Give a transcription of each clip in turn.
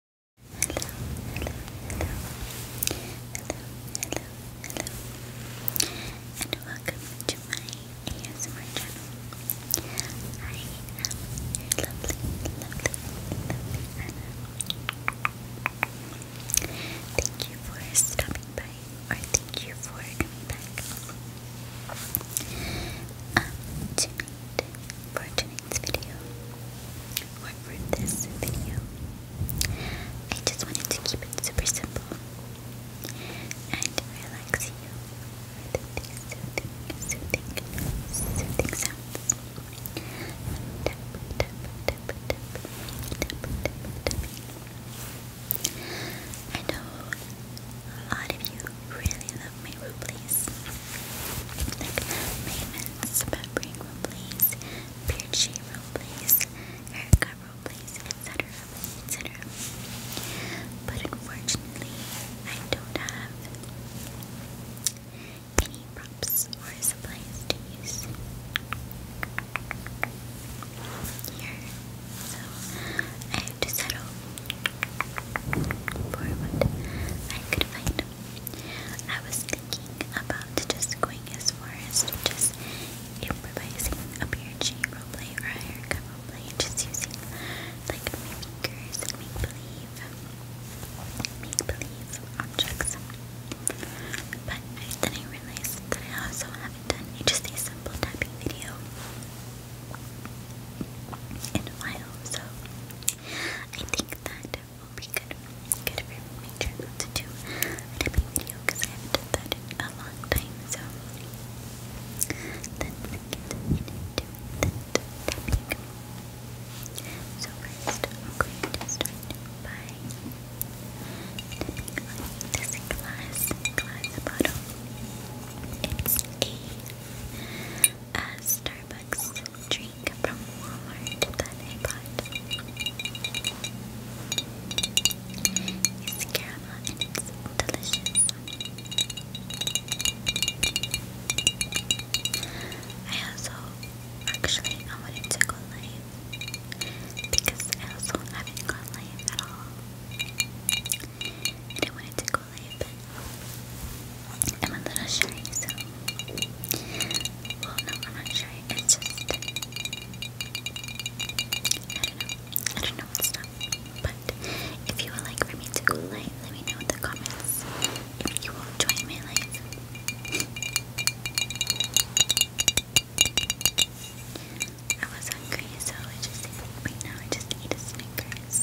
hello, hello, hello, hello, and welcome to my ASMR channel. I am your lovely, lovely, lovely Thank you for stopping by, or thank you for coming back. Um, tonight, for tonight tonight's video for this video. I just wanted to keep it super simple and relax you with soothing, soothing, soothing sounds. Tap, tap, tap, tap, tap, tap, tapping. I know a lot of you really love may rupees. Like Maven's peppering rupees, Pierchi rupees, Erica rupees, etc. etc. But unfortunately, I don't have any props or supplies to use here, so I have to settle for what I could find I was thinking about just going as far as to just improvising a PRG roleplay or a haircut roleplay, just using like mimickers make believe, make believe objects. But then I realized that I also haven't done just a simple tapping video in a while, so I think that will be good, good for my to do a typing video because I haven't done that in a long time. So let's get into that topic. So first, I'm going to start by tapping a Starbucks dream thing from It's caramel and it's delicious. I also actually I wanted to go live because I also haven't gone live at all. I wanted to go I'm a little shy, so. Well, no, I'm not shy. It's just. I don't know. I don't know what's up. But if you would like for me to go let me know in the comments if you will join my life. I was hungry, so I just right now I just eat a Snickers.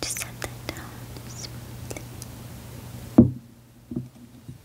Just set that down smoothly.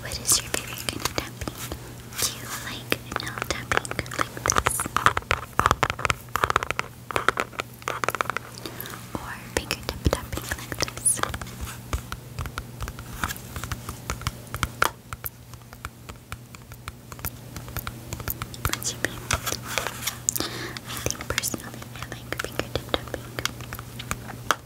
What is your favorite kind of tapping? Do you like no tapping like this? Or fingertip tapping like this? I think personally I like fingertip tapping.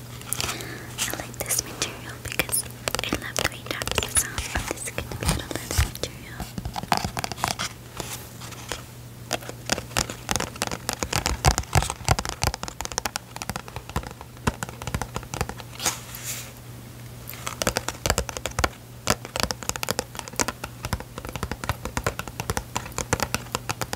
I like this material because I love the way it wraps the sound, this could be material.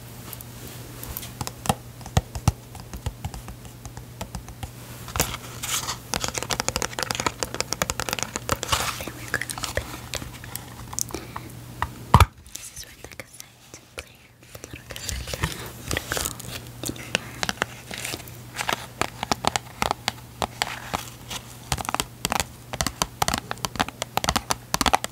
Then we're going to open it. This is where the cassette player, the little cassette player, would go in your hand.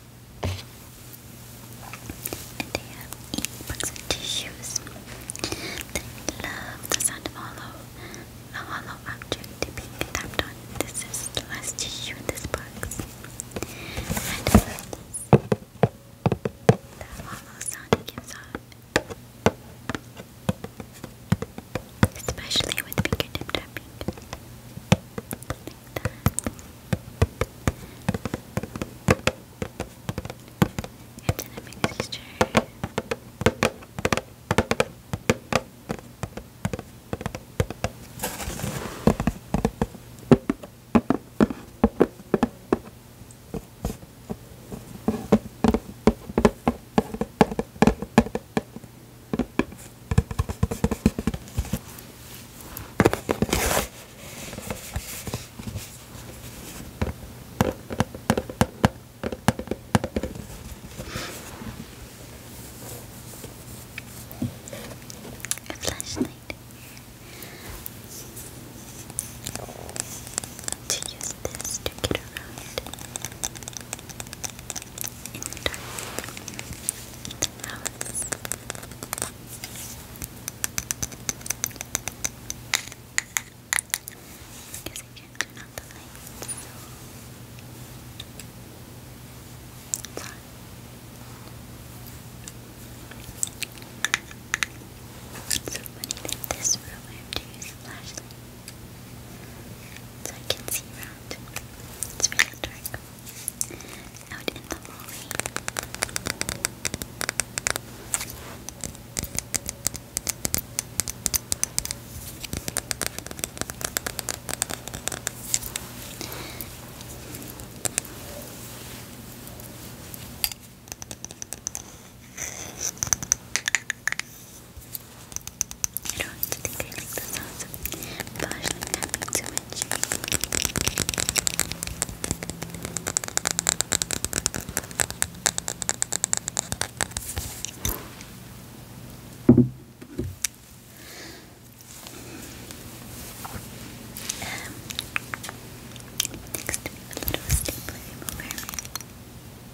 And they have e-books and tissues. They love the sound of hollow, a hollow object being tapped on. This is the last tissue in this box. The hollow sound gives off. Especially with fingertip tapping. And then mixture. A flashlight to use this to get around in the I can turn out the lights, it's on. It's so funny that this room I have a flashlight so I can see around. It's really dark out in the hallway. I don't think I the sounds of flashlight tapping too much. Um, next, little stapler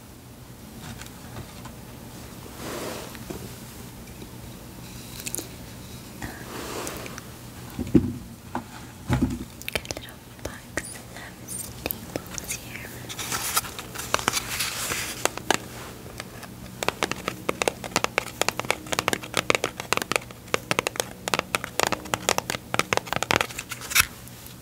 Good little box of staples here.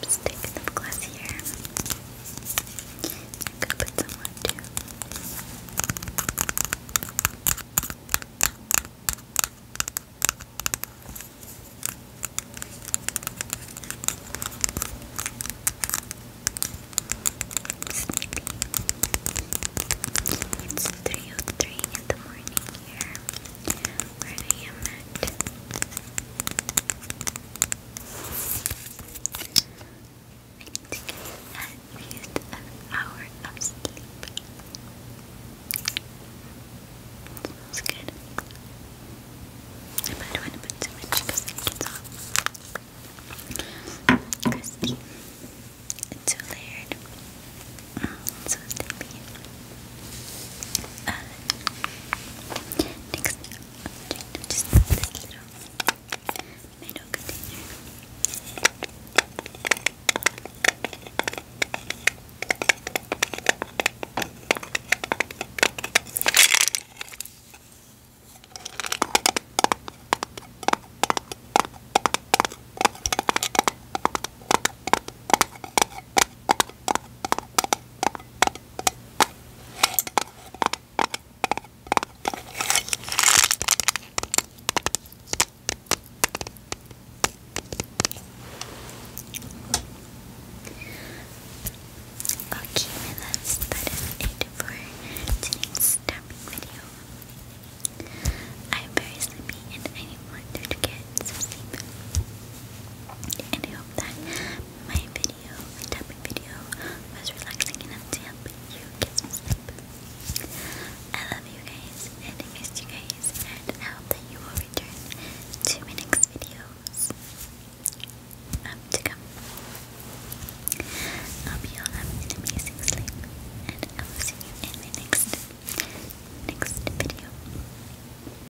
lipstick and lip gloss here. I could put some on too. Sleepy. It's 3.03 in the morning here where I am at to get an hour of sleep. Smells good. I don't want to put too much because it gets off. Crispy. It's layered. Mm, so sleepy. Uh, next, I'm going to little container. Okay, my that is it for today's tapping video. I'm very sleepy and I want to get some sleep. And I hope that my video, my tapping video, was relaxing enough to help you get some sleep. I love you guys, and miss you guys, and hope that you will return to my next videos um, to come. I'll be all have an amazing sleep, and I will see you in my next next video.